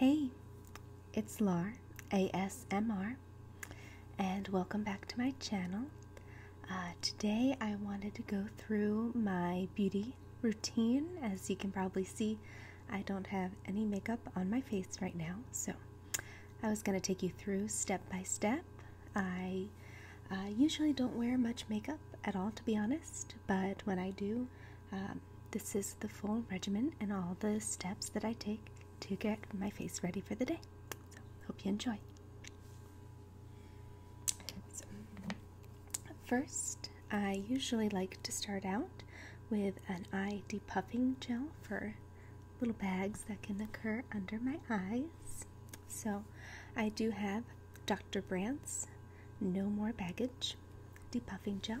Hey, it's Lar ASMR, and welcome back to my channel. Uh, today, I wanted to go through my beauty routine. As you can probably see, I don't have any makeup on my face right now, so I was going to take you through step by step. I uh, usually don't wear much makeup at all, to be honest, but when I do, um, this is the full regimen and all the steps that I take to get my face ready for the day. So, hope you enjoy. So, first, I usually like to start out with an eye depuffing gel for little bags that can occur under my eyes. So, I do have Dr. Brandt's No More Baggage depuffing gel.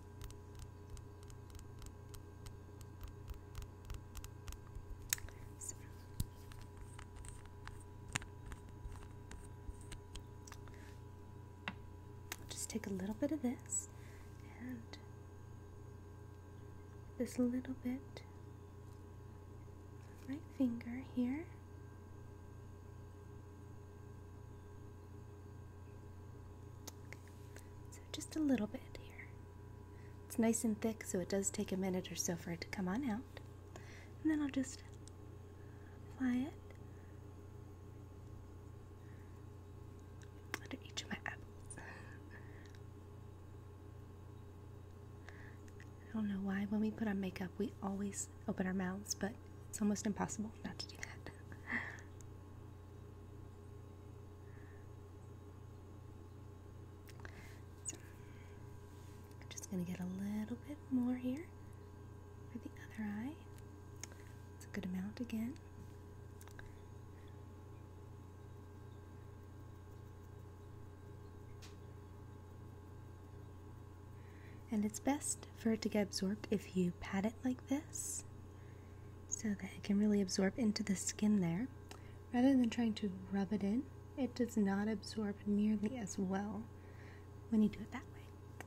just take a little bit of this and this little bit right finger here so just a little bit here. It's nice and thick, so it does take a minute or so for it to come on out. And then I'll just apply it under each of my apples. I don't know why when we put on makeup we always open our mouths, but it's almost impossible not to do that. I'm just going to get a little bit more here for the other eye. It's a good amount again. And it's best for it to get absorbed if you pat it like this so that it can really absorb into the skin there. Rather than trying to rub it in, it does not absorb nearly as well when you do it that way.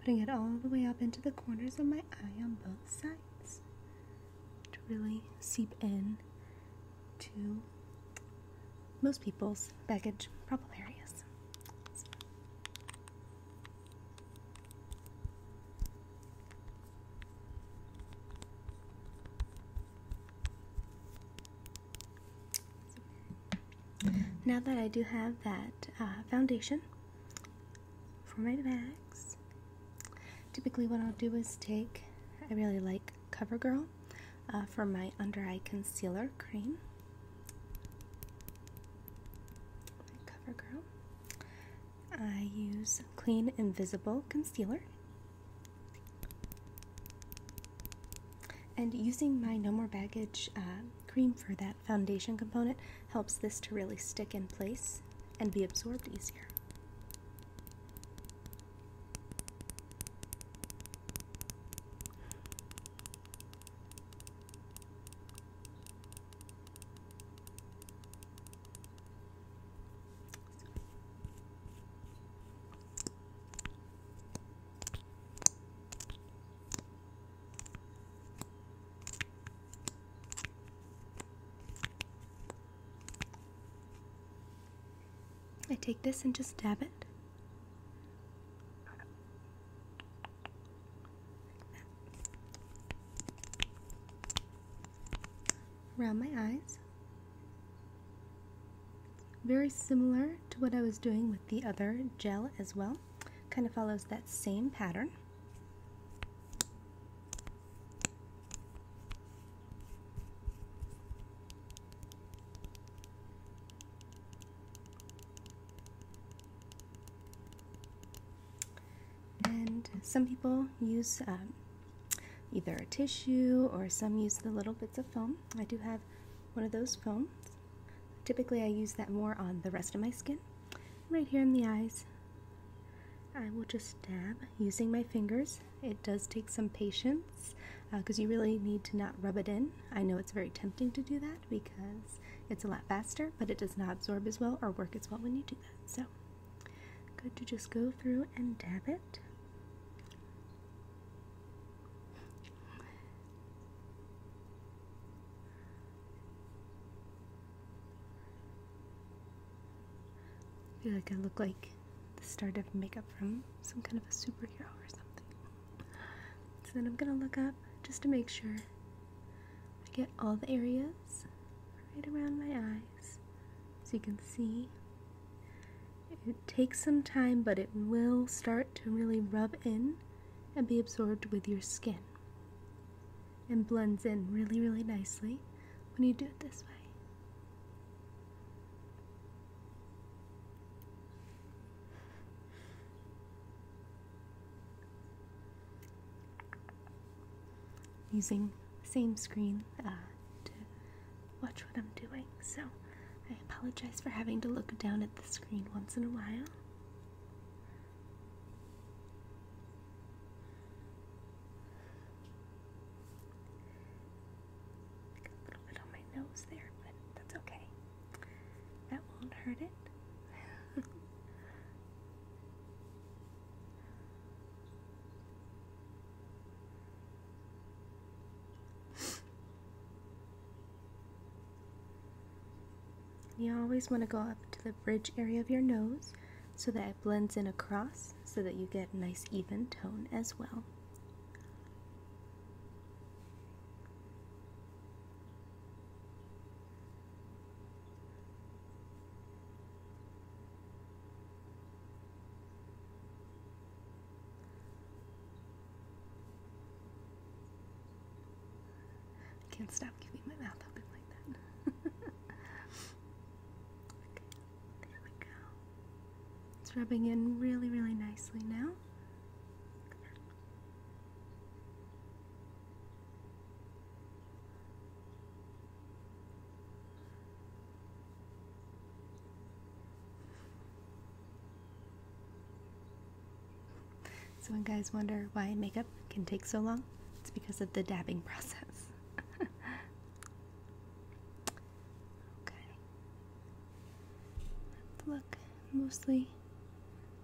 Putting it all the way up into the corners of my eye on both sides to really seep in to most people's baggage problem areas. Now that I do have that uh, foundation for my bags, typically what I'll do is take, I really like CoverGirl uh, for my under eye concealer cream. CoverGirl. I use Clean Invisible Concealer. And using my No More Baggage uh, cream for that foundation component helps this to really stick in place and be absorbed easier. I take this and just dab it Around my eyes. Very similar to what I was doing with the other gel as well. Kind of follows that same pattern. And some people use um, either a tissue or some use the little bits of foam. I do have one of those foams. Typically, I use that more on the rest of my skin. Right here in the eyes, I will just dab using my fingers. It does take some patience because uh, you really need to not rub it in. I know it's very tempting to do that because it's a lot faster, but it does not absorb as well or work as well when you do that. So, good to just go through and dab it. I feel like I look like the start of makeup from some kind of a superhero or something. So then I'm going to look up just to make sure I get all the areas right around my eyes. So you can see it takes some time, but it will start to really rub in and be absorbed with your skin and blends in really, really nicely when you do it this way. Using same screen uh, to watch what I'm doing, so I apologize for having to look down at the screen once in a while. A little bit on my nose there, but that's okay. That won't hurt it. you always want to go up to the bridge area of your nose so that it blends in across so that you get a nice even tone as well. I can't stop keeping my mouth open like that. okay, there we go. It's rubbing in really, really nicely now. So when guys wonder why makeup can take so long, it's because of the dabbing process. okay. look mostly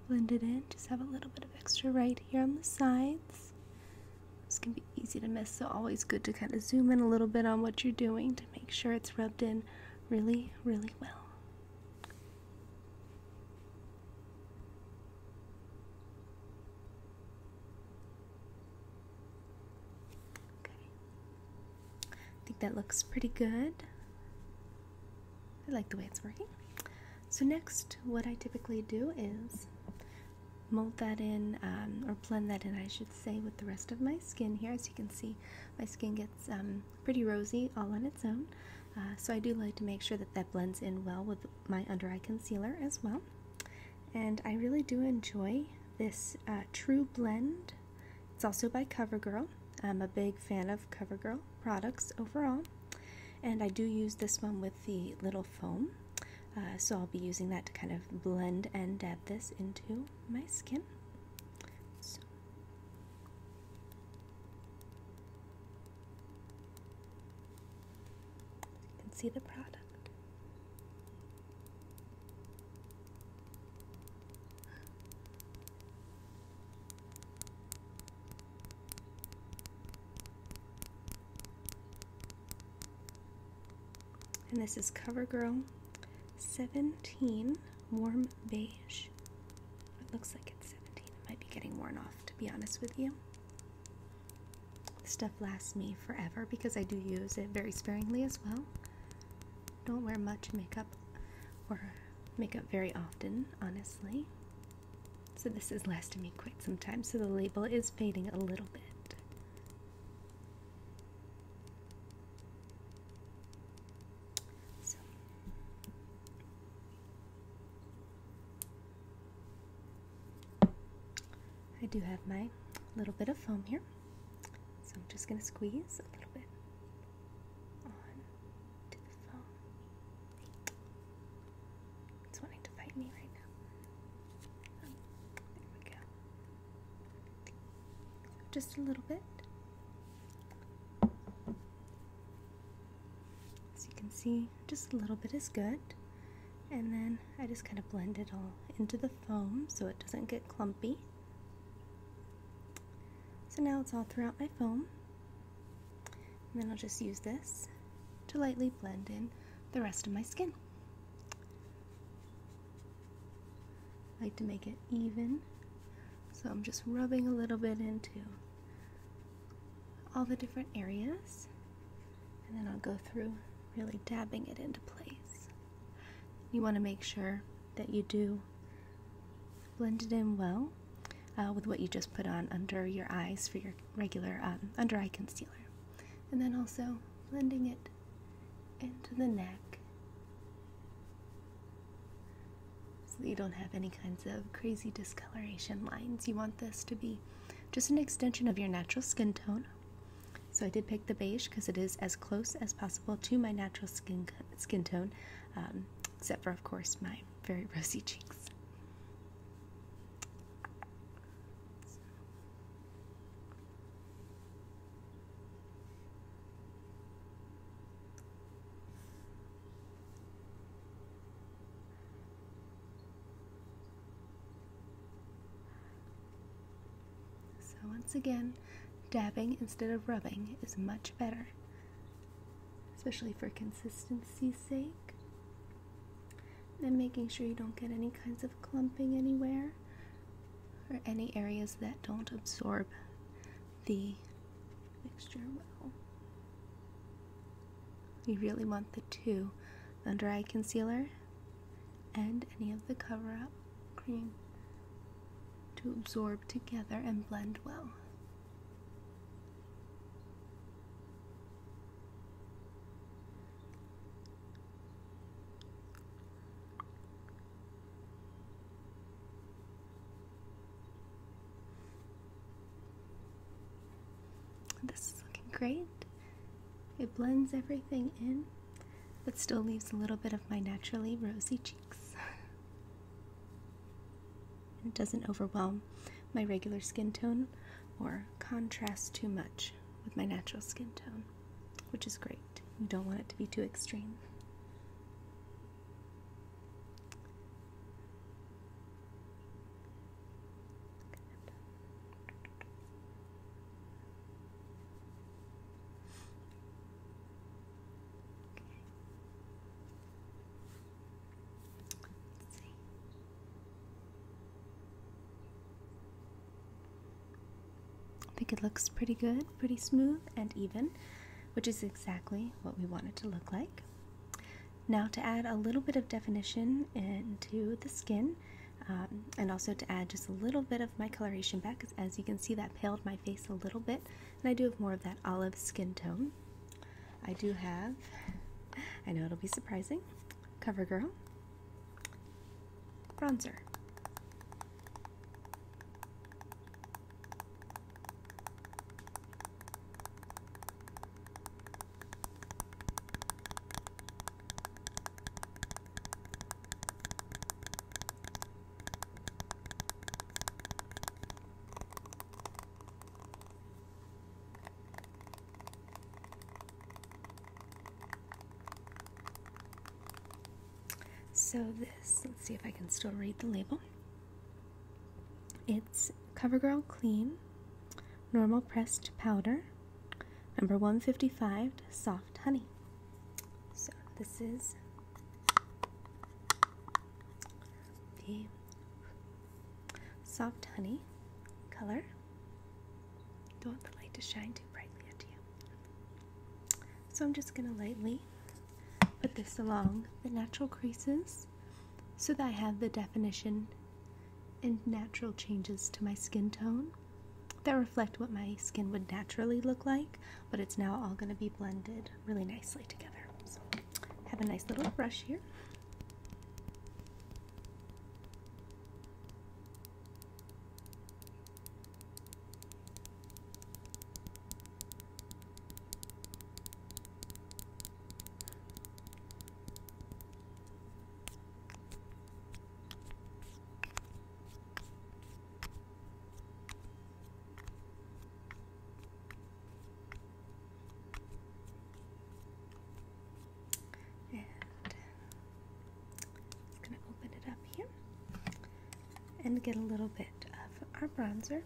blend it in. Just have a little bit of extra right here on the sides. This can be easy to miss, so always good to kind of zoom in a little bit on what you're doing to make sure it's rubbed in really, really well. Okay. I think that looks pretty good. I like the way it's working. So next, what I typically do is mold that in, um, or blend that in, I should say, with the rest of my skin here. As you can see, my skin gets um, pretty rosy all on its own. Uh, so I do like to make sure that that blends in well with my under eye concealer as well. And I really do enjoy this uh, True Blend. It's also by CoverGirl. I'm a big fan of CoverGirl products overall. And I do use this one with the little foam. Uh, so I'll be using that to kind of blend and dab this into my skin. You can see the product. And this is CoverGirl 17 Warm Beige. It looks like it's 17. It might be getting worn off, to be honest with you. This stuff lasts me forever because I do use it very sparingly as well. Don't wear much makeup or makeup very often, honestly. So this has lasted me quite some time, so the label is fading a little bit. I do have my little bit of foam here, so I'm just going to squeeze a little bit on to the phone. It's wanting to fight me right now. Um, there we go. Just a little bit. As you can see, just a little bit is good. And then I just kind of blend it all into the foam so it doesn't get clumpy. So now it's all throughout my foam then I'll just use this to lightly blend in the rest of my skin. I like to make it even, so I'm just rubbing a little bit into all the different areas, and then I'll go through really dabbing it into place. You want to make sure that you do Blend it in well uh, with what you just put on under your eyes for your regular um, under eye concealer. And then also blending it into the neck so that you don't have any kinds of crazy discoloration lines. You want this to be just an extension of your natural skin tone. So I did pick the beige because it is as close as possible to my natural skin skin tone, um, except for of course my very rosy cheeks. So. once again, dabbing instead of rubbing is much better especially for consistency's sake. And making sure you don't get any kinds of clumping anywhere or any areas that don't absorb the mixture well. You really want the two, under eye concealer and any of the cover up cream to absorb together and blend well. This is looking great. It blends everything in, but still leaves a little bit of my naturally rosy cheeks. It doesn't overwhelm my regular skin tone or contrast too much with my natural skin tone, which is great. You don't want it to be too extreme. I think it looks pretty good, pretty smooth and even, which is exactly what we want it to look like. Now to add a little bit of definition into the skin, um, and also to add just a little bit of my coloration back, as you can see that paled my face a little bit, and I do have more of that olive skin tone. I do have, I know it'll be surprising, CoverGirl bronzer. So this, let's see if I can still read the label. It's CoverGirl Clean Normal Pressed Powder, number 155 Soft Honey. So this is the soft honey color. Don't want the light to shine too brightly onto you. So I'm just going to lightly put this along the natural creases so that I have the definition and natural changes to my skin tone that reflect what my skin would naturally look like, but it's now all going to be blended really nicely together have a nice little brush here. And uh, just gonna open it up here and get a little bit of our bronzer.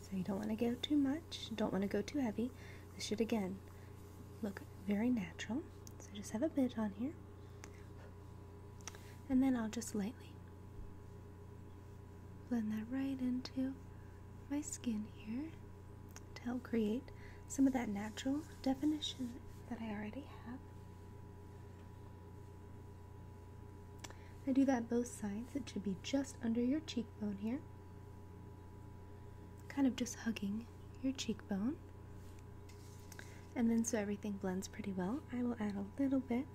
So you don't want to go too much, don't want to go too heavy. This should again look very natural. So just have a bit on here. And then I'll just lightly blend that right into my skin here to help create some of that natural definition that I already have. I do that both sides. It should be just under your cheekbone here. Kind of just hugging your cheekbone. And then so everything blends pretty well, I will add a little bit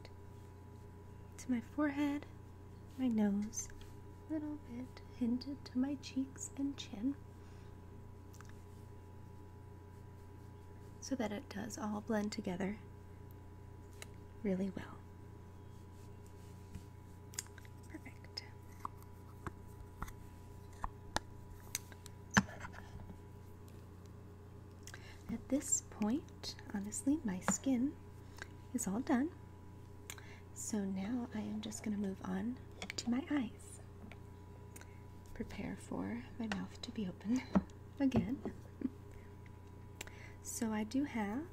to my forehead, my nose, a little bit hinted to my cheeks and chin. So that it does all blend together really well. Perfect. At this point, honestly, my skin is all done. So now I am just going to move on to my eyes. Prepare for my mouth to be open again. so I do have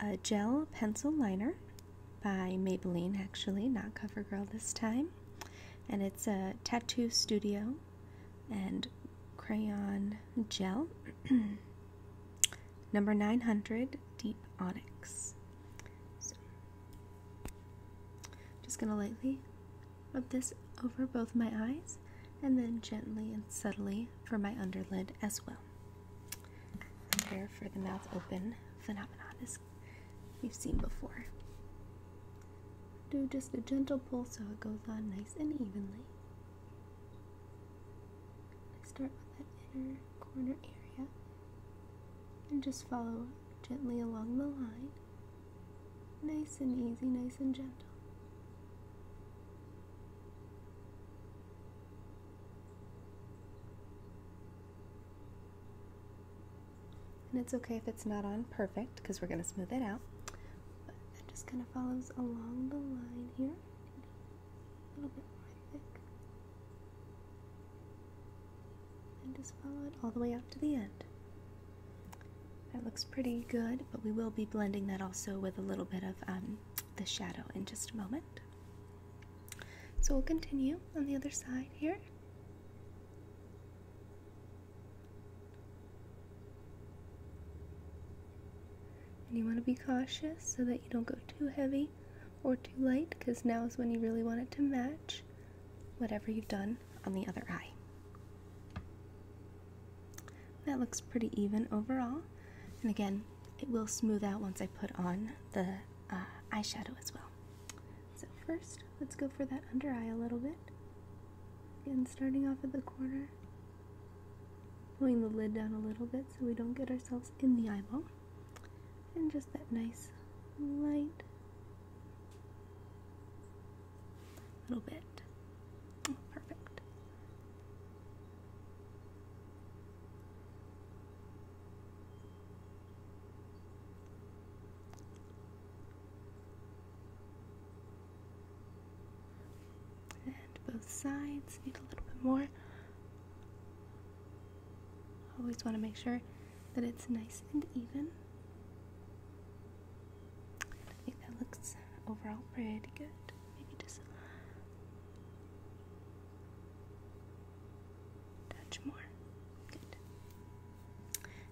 a gel pencil liner by Maybelline, actually, not CoverGirl this time. And it's a Tattoo Studio and crayon gel. Number 900, Deep Onyx. just going to lightly rub this over both my eyes and then gently and subtly for my underlid as well. Prepare for the mouth open phenomenon as we've seen before. Do just a gentle pull so it goes on nice and evenly. Let's start with that inner corner area and just follow gently along the line. Nice and easy, nice and gentle. And it's okay if it's not on perfect because we're going to smooth it out. just going to kind follows along the line here. A little bit more thick. And just follow it all the way up to the end. That looks pretty good, but we will be blending that also with a little bit of um, the shadow in just a moment. So we'll continue on the other side here. And you want to be cautious so that you don't go too heavy or too light because now is when you really want it to match whatever you've done on the other eye. That looks pretty even overall. And again, it will smooth out once I put on the uh, eyeshadow as well. So first, let's go for that under eye a little bit. Again, starting off at the corner Pulling the lid down a little bit so we don't get ourselves in the eyeball. And just that nice light little bit. perfect and both sides need a little bit more. Always want to make sure that it's nice and even. I think that looks overall pretty good. Maybe just touch more. Good.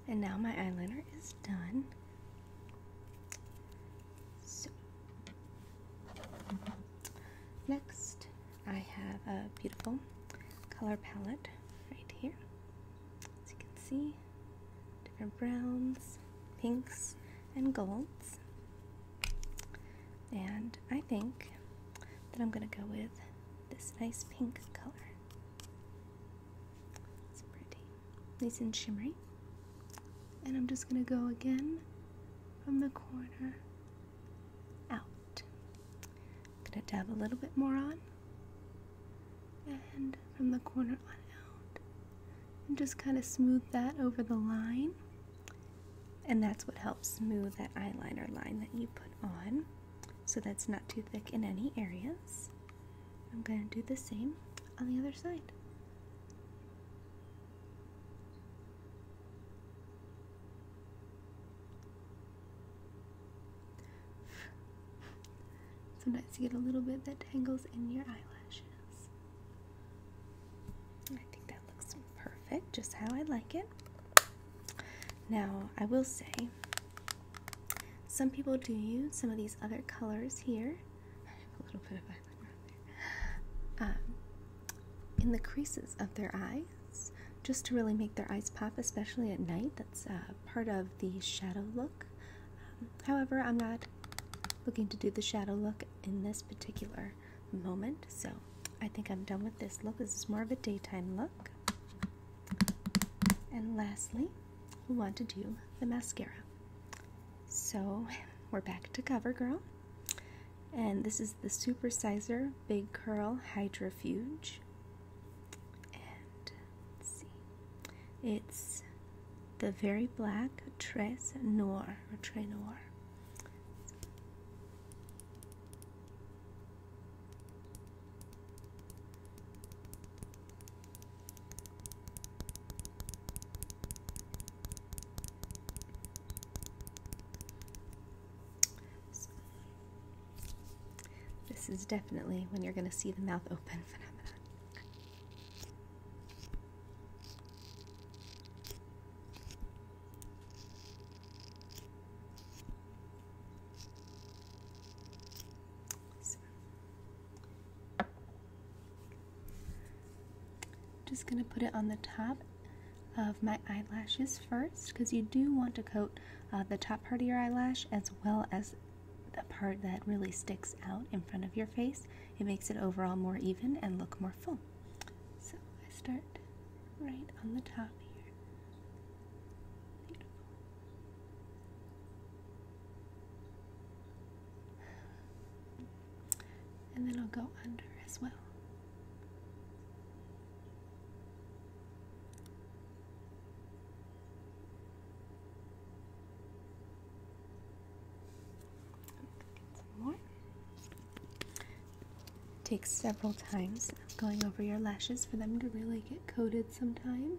And now my eyeliner is done. So, next I have a beautiful color palette right here. As you can see, different browns, pinks, and golds. And I think that I'm going to go with this nice pink color. It's pretty nice and shimmery. And I'm just going to go again from the corner out. going to dab a little bit more on. And from the corner on out. And just kind of smooth that over the line. And that's what helps smooth that eyeliner line that you put on. So that's not too thick in any areas. I'm going to do the same on the other side. Sometimes you get a little bit that tangles in your eyelashes. I think that looks perfect, just how I like it. Now, I will say, some people do use some of these other colors here. Um, in the creases of their eyes, just to really make their eyes pop, especially at night. That's uh, part of the shadow look. Um, however, I'm not looking to do the shadow look in this particular moment, so I think I'm done with this look. This is more of a daytime look. And lastly, we want to do the mascara. So we're back to CoverGirl. And this is the Supersizer Big Curl Hydrofuge. And see. It's the very black Tres Noir or Tre Noir this is definitely when you're going to see the mouth open phenomenon. Just going to put it on the top of my eyelashes first because you do want to coat uh, the top part of your eyelash as well as the part that really sticks out in front of your face. It makes it overall more even and look more full. So I start right on the top here. Beautiful and then I'll go under as well. Get some more. Take several times going over your lashes for them to really get coated sometimes.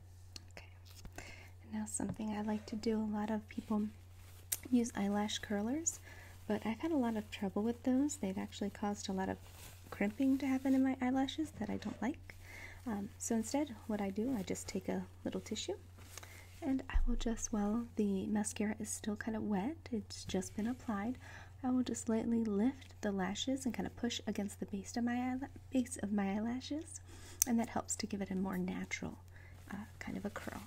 now something I like to do. A lot of people use eyelash curlers, but I've had a lot of trouble with those. They've actually caused a lot of crimping to happen in my eyelashes that I don't like. Um, so instead, what I do, I just take a little tissue and I will just, while the mascara is still kind of wet, it's just been applied, I will just lightly lift the lashes and kind of push against the base of my base of my eyelashes, and that helps to give it a more natural uh, kind of a curl.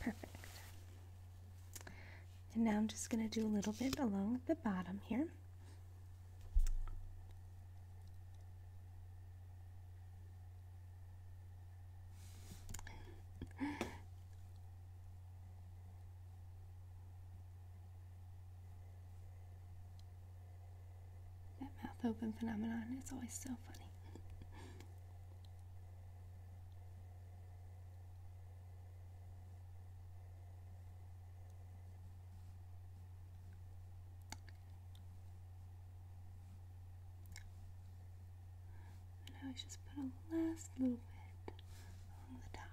Perfect. And now I'm just going to do a little bit along the bottom here. that mouth open phenomenon is always so funny. Now I just put a last little bit along the top.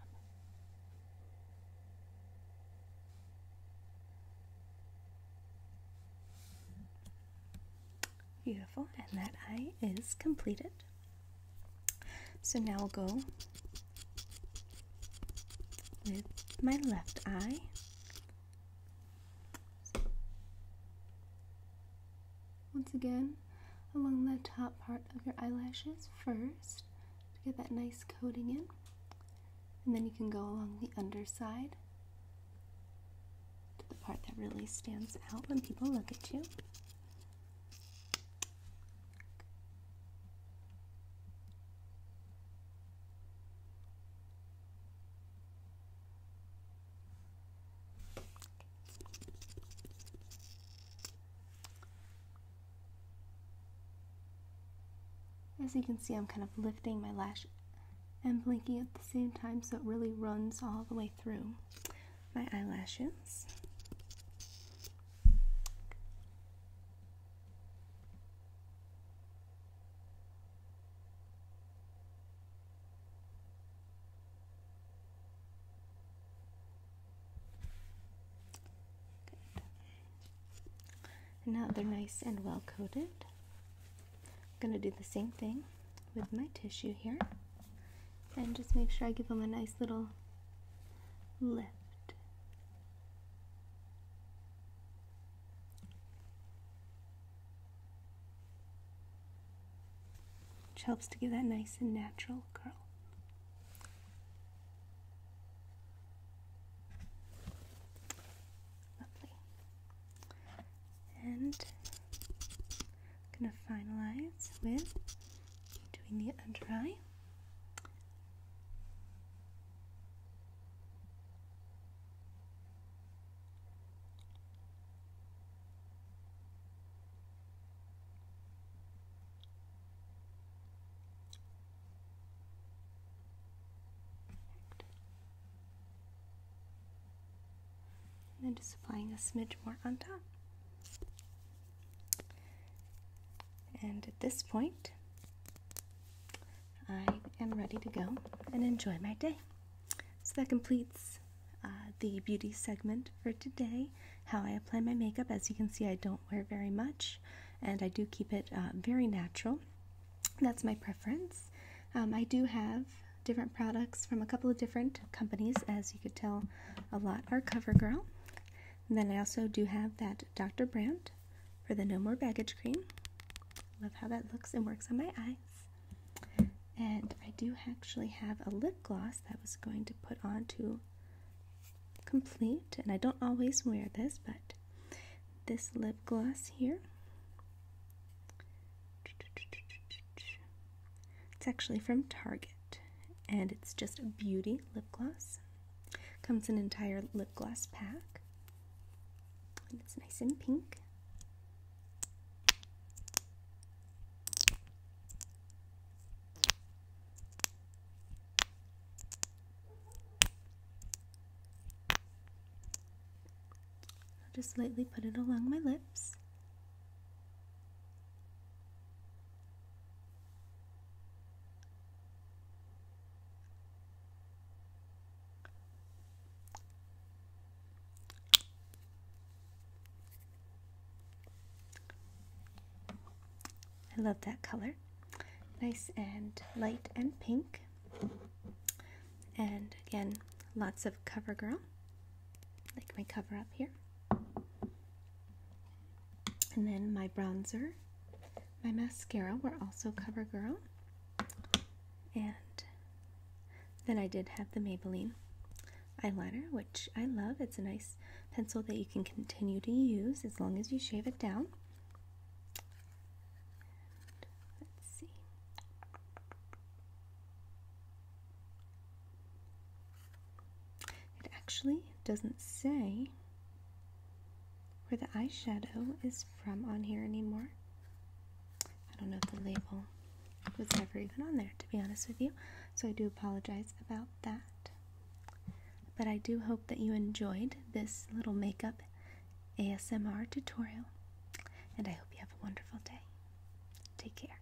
Beautiful, and that eye is completed. So now I'll go with my left eye. Once again, along the top part of your eyelashes first to get that nice coating in. And then you can go along the underside to the part that really stands out when people look at you. As you can see, I'm kind of lifting my lash and blinking at the same time, so it really runs all the way through my eyelashes now they're nice and well coated. I'm going to do the same thing with my tissue here and just make sure I give them a nice little lift. Which helps to give that nice and natural curl. Lovely. And I'm gonna finalize with doing the under And then just applying a smidge more on top. And at this point, I am ready to go and enjoy my day. So that completes uh, the beauty segment for today. How I apply my makeup. As you can see, I don't wear very much and I do keep it uh, very natural. That's my preference. Um, I do have different products from a couple of different companies. As you could tell, a lot are CoverGirl then I also do have that Dr. Brandt for the No More Baggage Cream. Love how that looks and works on my eyes. And I do actually have a lip gloss that was going to put on to complete. And I don't always wear this, but this lip gloss here it's actually from Target and it's just a beauty lip gloss. Comes an entire lip gloss pack. And it's nice and pink. I'll just lightly put it along my lips I love that color. Nice and light and pink. And again, lots of cover girl, like my cover up here. And then my bronzer, my mascara were also CoverGirl. And then I did have the Maybelline eyeliner, which I love. It's a nice pencil that you can continue to use as long as you shave it down. let's see. It actually doesn't say where the eyeshadow is from on here anymore. I don't know if the label was ever even on there, to be honest with you. So I do apologize about that. But I do hope that you enjoyed this little makeup ASMR tutorial. And I hope you have a wonderful day. Take care.